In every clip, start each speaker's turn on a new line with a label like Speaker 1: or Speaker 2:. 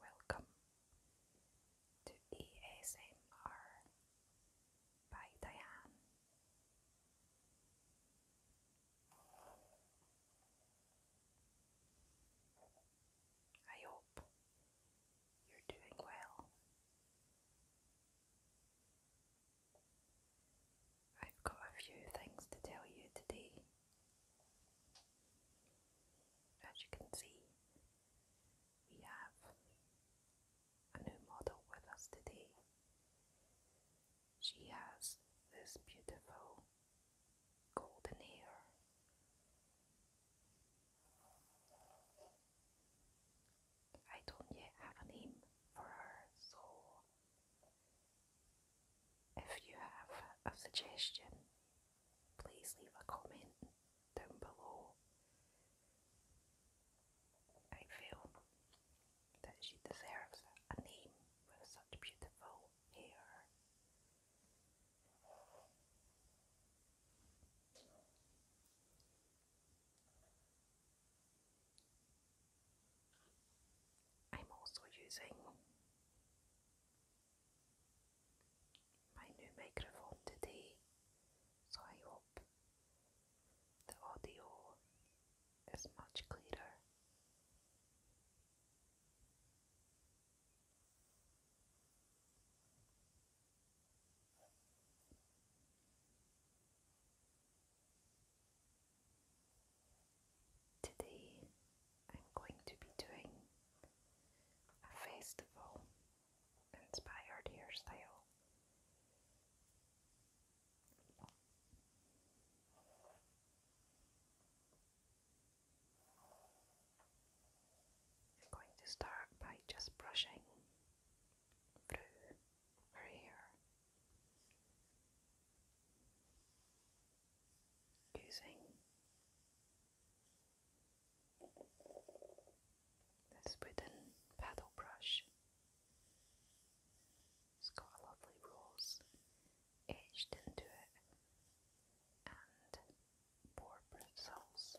Speaker 1: Welcome to ESMR by Diane. I hope you're doing well. I've got a few things to tell you today. As you can see, we have a new model with us today. She has this beautiful golden hair. I don't yet have a name for her, so if you have a suggestion, please leave a comment down below. I feel that she deserves a name with such beautiful hair. I'm also using my new microphone today, so I hope the audio is much clearer. Today I'm going to be doing a festival inspired hairstyle. I'm going to start by just brushing through her hair using this wooden paddle brush. It's got lovely rose etched into it and four bristles.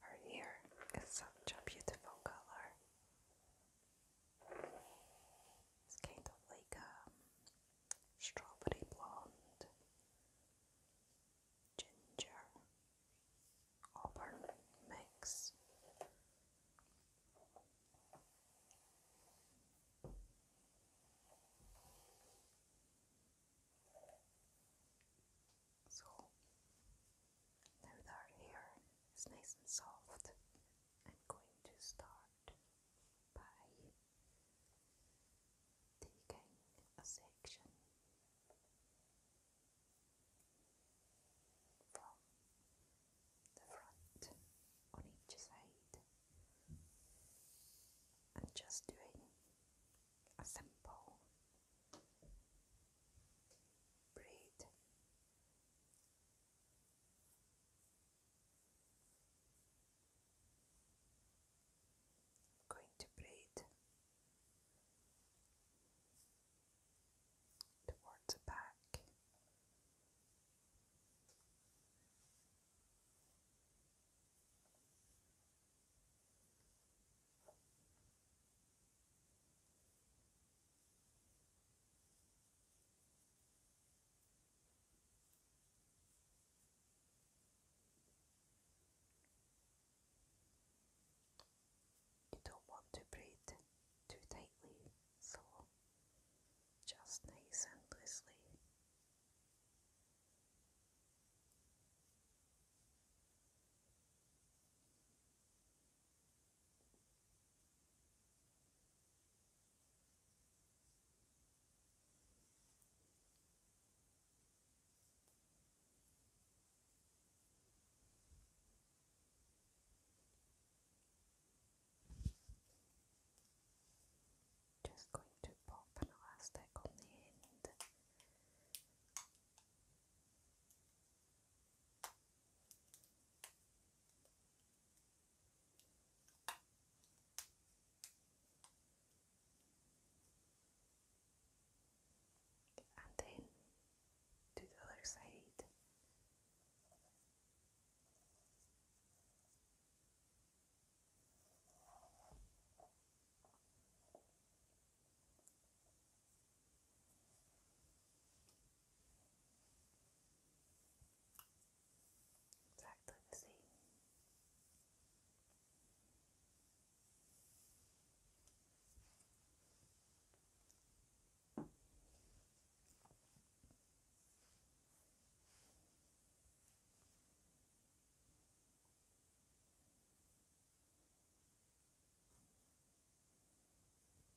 Speaker 1: Her hair is such beautiful color. It's kind of like a um, strawberry blonde, ginger, auburn mix. So now that our hair is nice and soft, I'm going to start by taking a section from the front on each side and just doing a simple braid I'm going to breathe towards the back don't want to braid too tightly, so just nice and loosely. Just going to pop an elastic on the end and then to the other side. Exactly the same.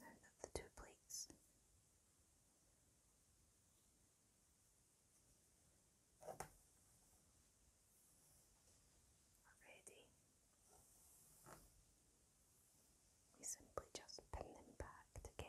Speaker 1: No, not the two plates. Already, we simply just pin them back together.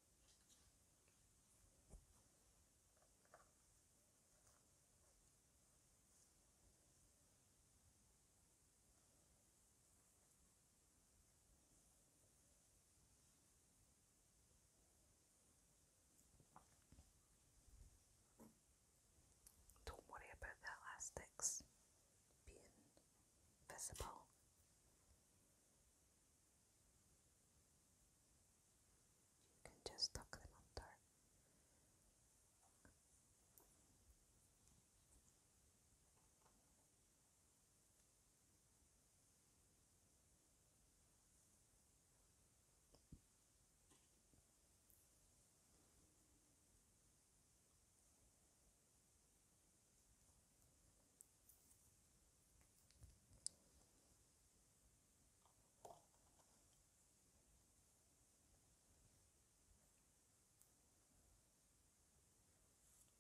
Speaker 1: Don't worry about the elastics being visible. You can just tuck them under.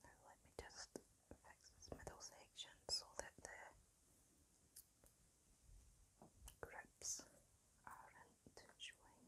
Speaker 1: Now let me just fix this middle section so that the grips aren't showing.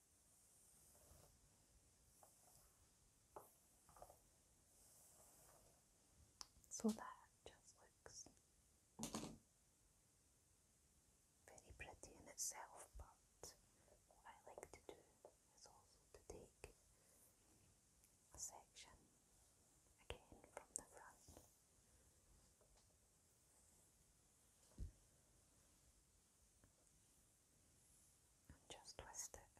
Speaker 1: So that just looks very pretty in itself, but what I like to do is also to take a section again from the front just twist it.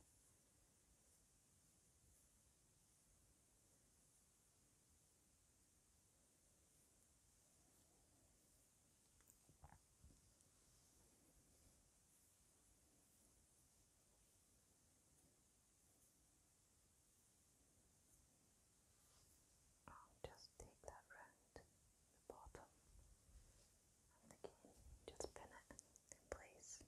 Speaker 1: just take that round the bottom of the Just pin it in place.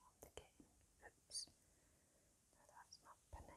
Speaker 1: On the game. Oops. No, that's not pinning.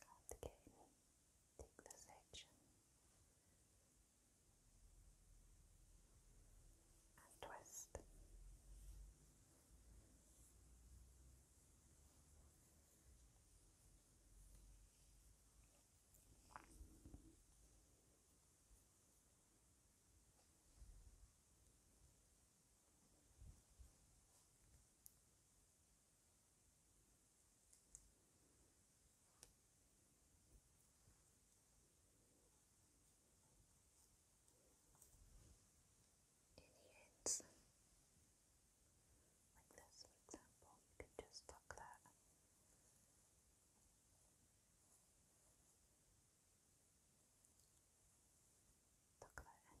Speaker 1: Cut again, take the section and twist ends. Like this, for example, you could just tuck that. Tuck that in.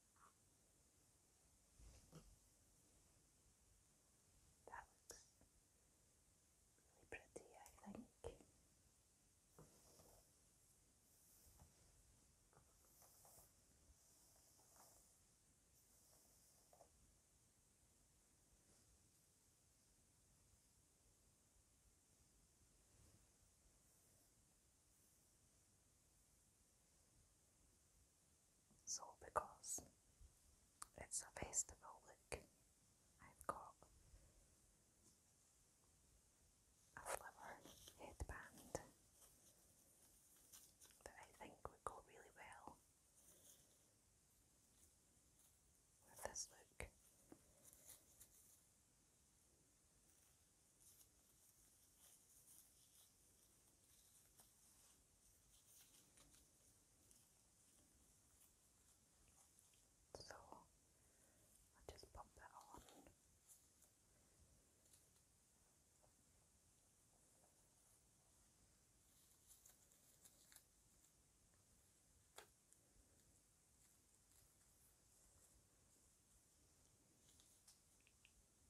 Speaker 1: That looks really pretty, I think. So because it's a festival look, I've got a flower headband that I think would go really well with this look. So I'll just pop that on. And these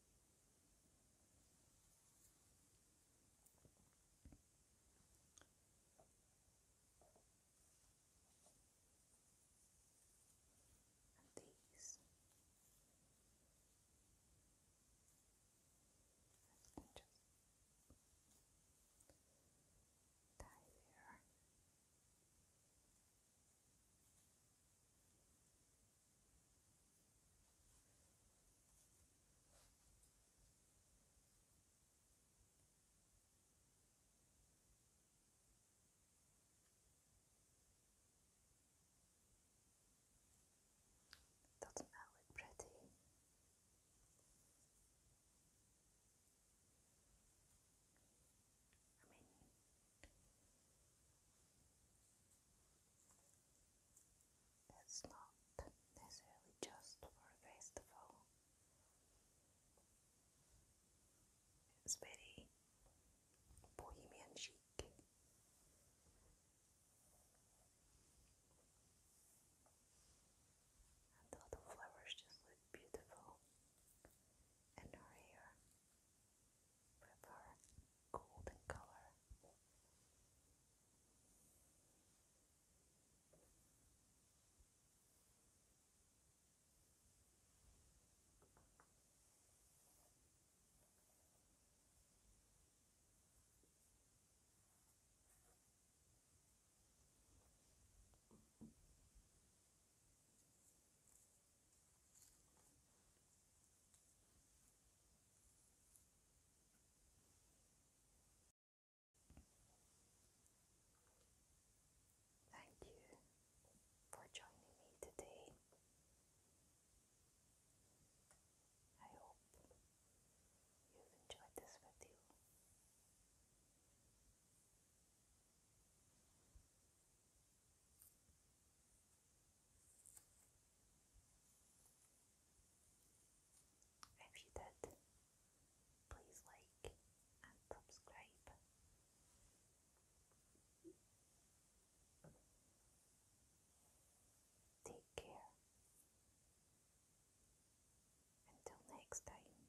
Speaker 1: I can just tie there. Doesn't that pretty? I mean, that's not necessarily just for a festival. It's very bohemian chic. And the flowers just look beautiful in her hair prefer golden color. Thank you for joining me today. I hope you've enjoyed this video. If you did, please like and subscribe. Take care. Until next time.